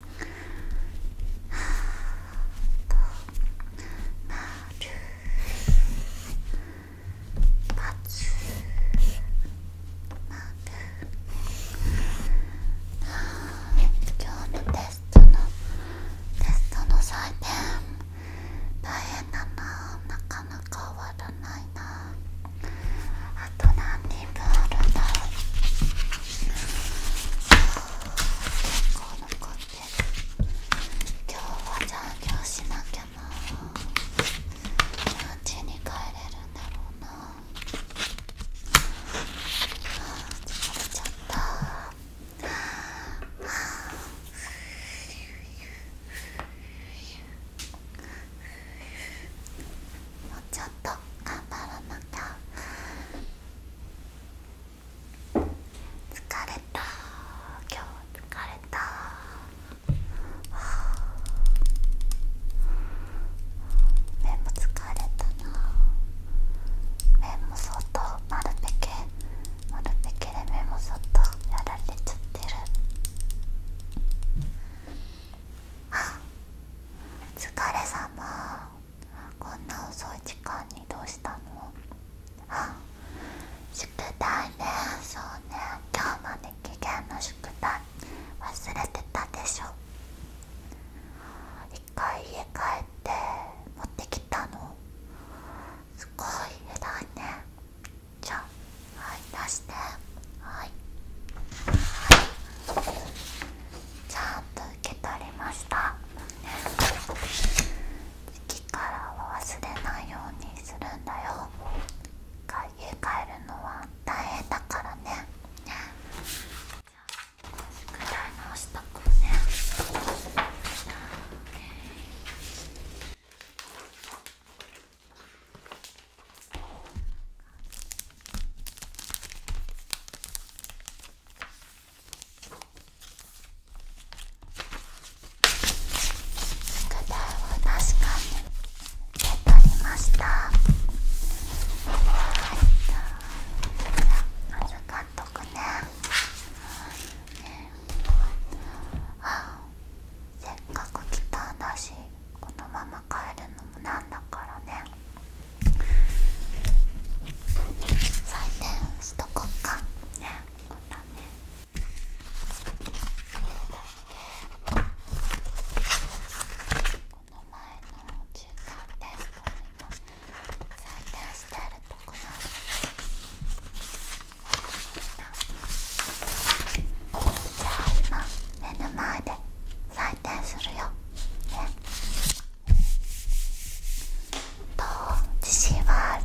今日のテストのテストの採点大変だななかなか終わらないなあと何人分あるんだろ結構残ってる今日は残業しなきゃな何時に帰れるんだろうなあ疲れちゃったあもうちょっと頑張らなきゃ疲れた今日疲れた目も疲れたな目も相当丸ぺけ丸ぺけで目も相当やられちゃってるはあ疲れ様こんな遅い時間にどうしたのあ宿題ねそうね今日まで期限の宿題忘れてたでしょ一回家帰って持ってきたのすごい偉いねじゃあはい出しですはいちゃんと受け取りました次からは忘れないようにするんだよ家帰るのは大変だからねね宿題直したからね宿題を確かに受け取りました預かっとくねあせっかく来たんだしこのまま帰るのもなんだからね採点しとこっかねこんなねこの前の中間テストにも採点してるとこなんですじゃあ今目の前で採点するよねと自信はある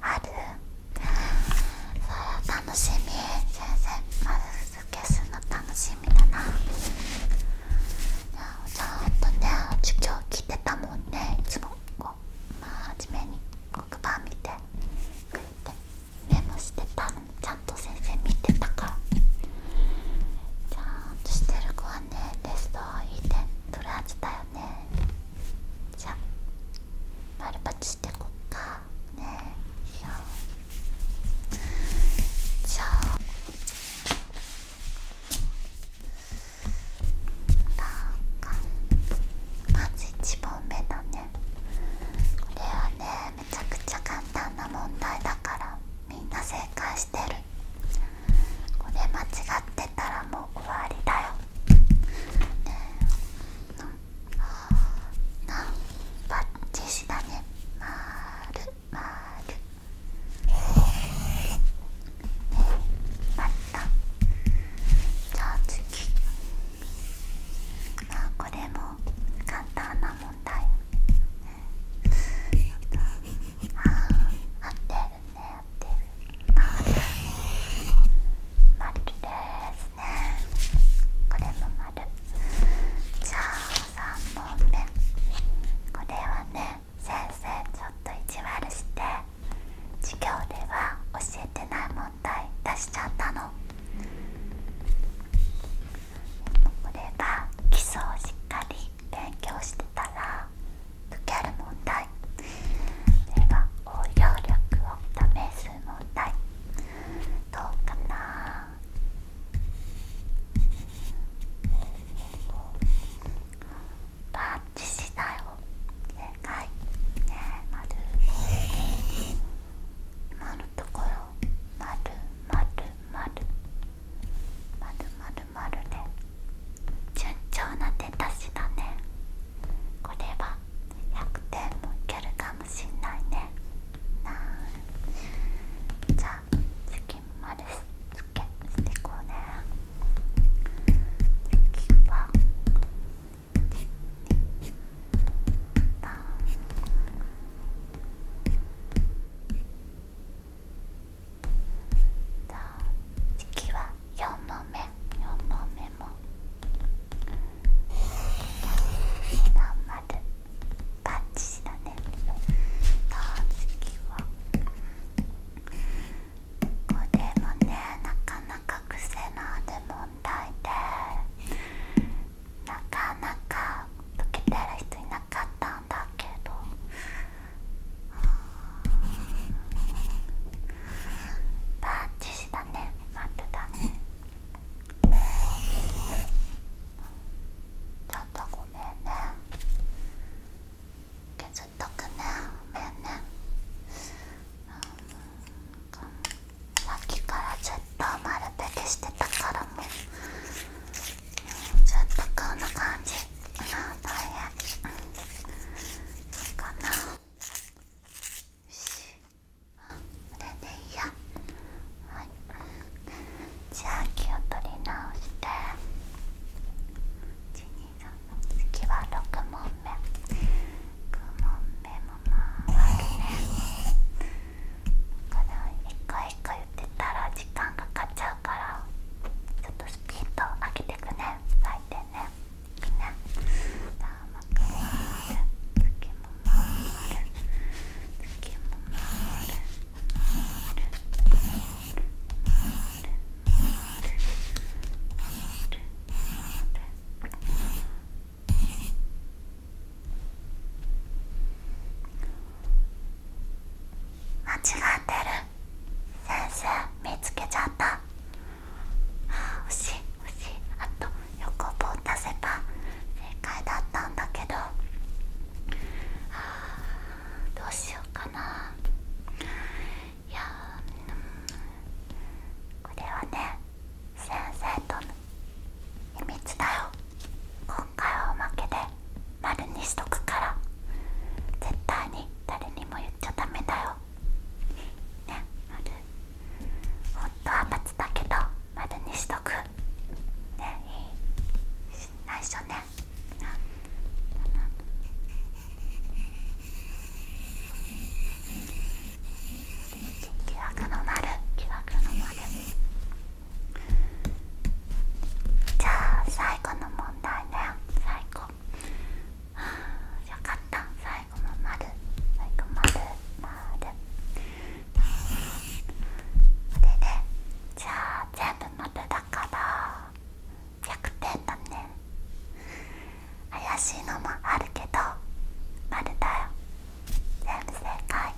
あるそれ楽しみ先生まず消すの楽しみだなちゃんとね授業来てたもんねいつもこう真面目に黒板見てクリっメモしてたのちゃんと先生見てたからちゃんとしてる子はねテストいい点取るはずだよねじゃあ丸バチしてこっかねえよじゃあなんかまず一番目だねこれはねめちゃくちゃ簡単な問題だからみんな正解してるこれ間違ってたらもう終わりだよねえバッチシだねまるまるねバッったじゃあまあこれも簡単な問題あ合ってるね合ってるまるでねこれもまるじゃあ3問目これはね先生ちょっと意地悪して授業では教えてない問題出しちゃったのこれが基礎をしっかり勉強してたら解ける問題そは応用力を試す問題どうかなタッチしたよ正解ねえ丸今のところまる。丸丸丸丸で順調な出だしだねこれは100点もいけるかもしんないねなじゃあ次までつけしていこうね。次次は。パンパンさあ次は4の目4の目もまんまるパッチだねさあ次は。こもねなかなか癖のある問題でなかなか解けてる人いなかったんだけどバッチシだね待たちょっとごめんねとくねごめんね、うさっきからずっと丸ペケしてたからもう、ずっとこんな感じうあ、大変、いいかなよしこれでいいやはいじゃあ気を取り直して12次は6問目6問目もまあるねだから1回1回言ってたら時間かかっちゃうからちょっとスピンと開けてくね回転ねいいねさあまく回る次も回る次も回る回る間違ってる先生見つけちゃったあと横棒足せば正解だったんだけどどうしようかな。いや、これはね先生との秘密だよ今回はおまけで丸にしとくから絶対に誰にも言っちゃダメだよね丸本当は×だけど丸にしとくねいい内緒ね疑惑の丸疑惑の丸じゃあ最後の問題だよ最後よかった最後の丸最後丸丸これでじゃあ全部まただから100点だね怪しいのもあるけど丸だよ全部正解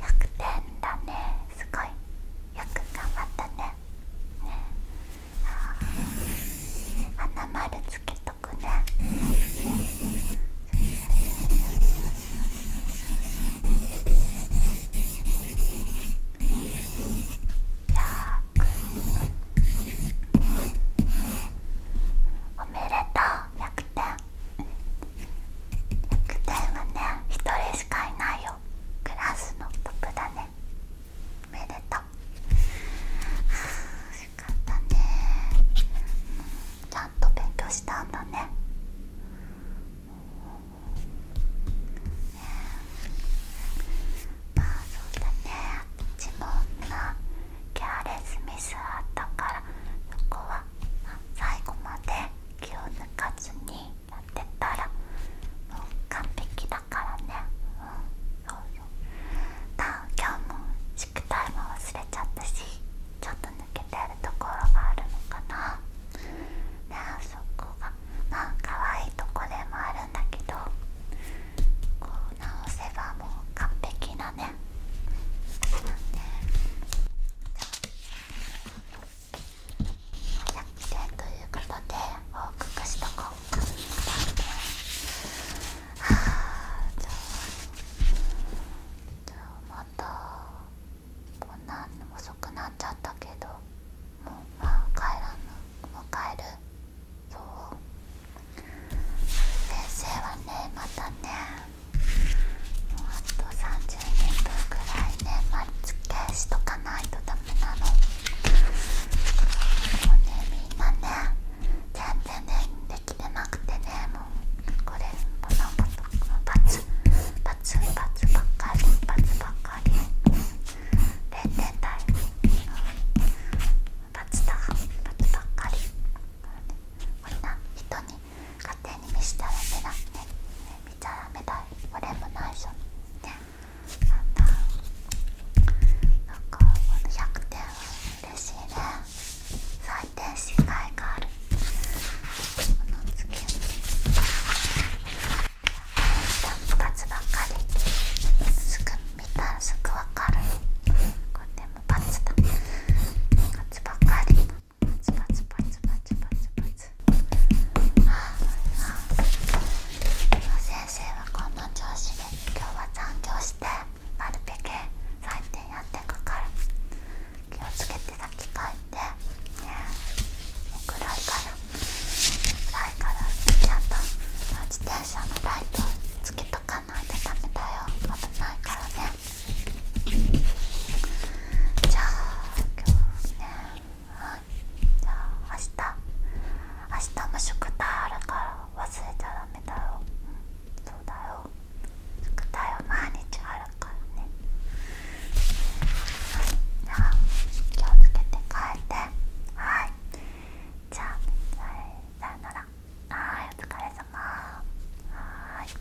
100点だねすごいよく頑張ったねねあ花丸つけとくねおめでとう100点100点はね1人しかいないよクラスのトップだねおめでとうあよかったねちゃんと勉強したんだねまあそうだね一問のケアレスミスあったからそこは最後まで気を抜かずにやってたらもう完璧だからねうんそうよだ今日も宿題も忘れちゃったしちょっ抜けてるところがあるのかなねあそこがまあ可愛いとこでもあるんだけどこう直せばもう完璧なねなんということで報告しとこうかはあじゃあじゃあっと。こんな遅くなっちゃったけどもうまあ帰らぬもう帰るよ先生はねまたねもうあと30分くらいねまつけしとかないとダメなのもうねみんなね全然ねできてなくてねもうこれこのバツババツバツばかりバツかり0点台バツだバツばっかりこんな人に勝手に見せちゃダメだね見ちゃダメだい俺もないしょなんなんかこの100点は嬉しいね回転しがあるこのつけスタンプ2ばっかりすぐ見たらすぐわかるこれもバツだツばっかりバツバツバツバツバツバツ先生はこんな調子で今日は残業してなるべく採点やってくから。気をつけて抱きかえてね暗いからからちゃんと自転車のライトつけとかないとダメだよ危ないからねじゃあ今日はいじゃあ明日明日も宿題あるから忘れちゃダメだよ。そうだよ宿題は毎日あるからねじゃあ気をつけて帰ってはいじゃあさよならはいお疲れ様はい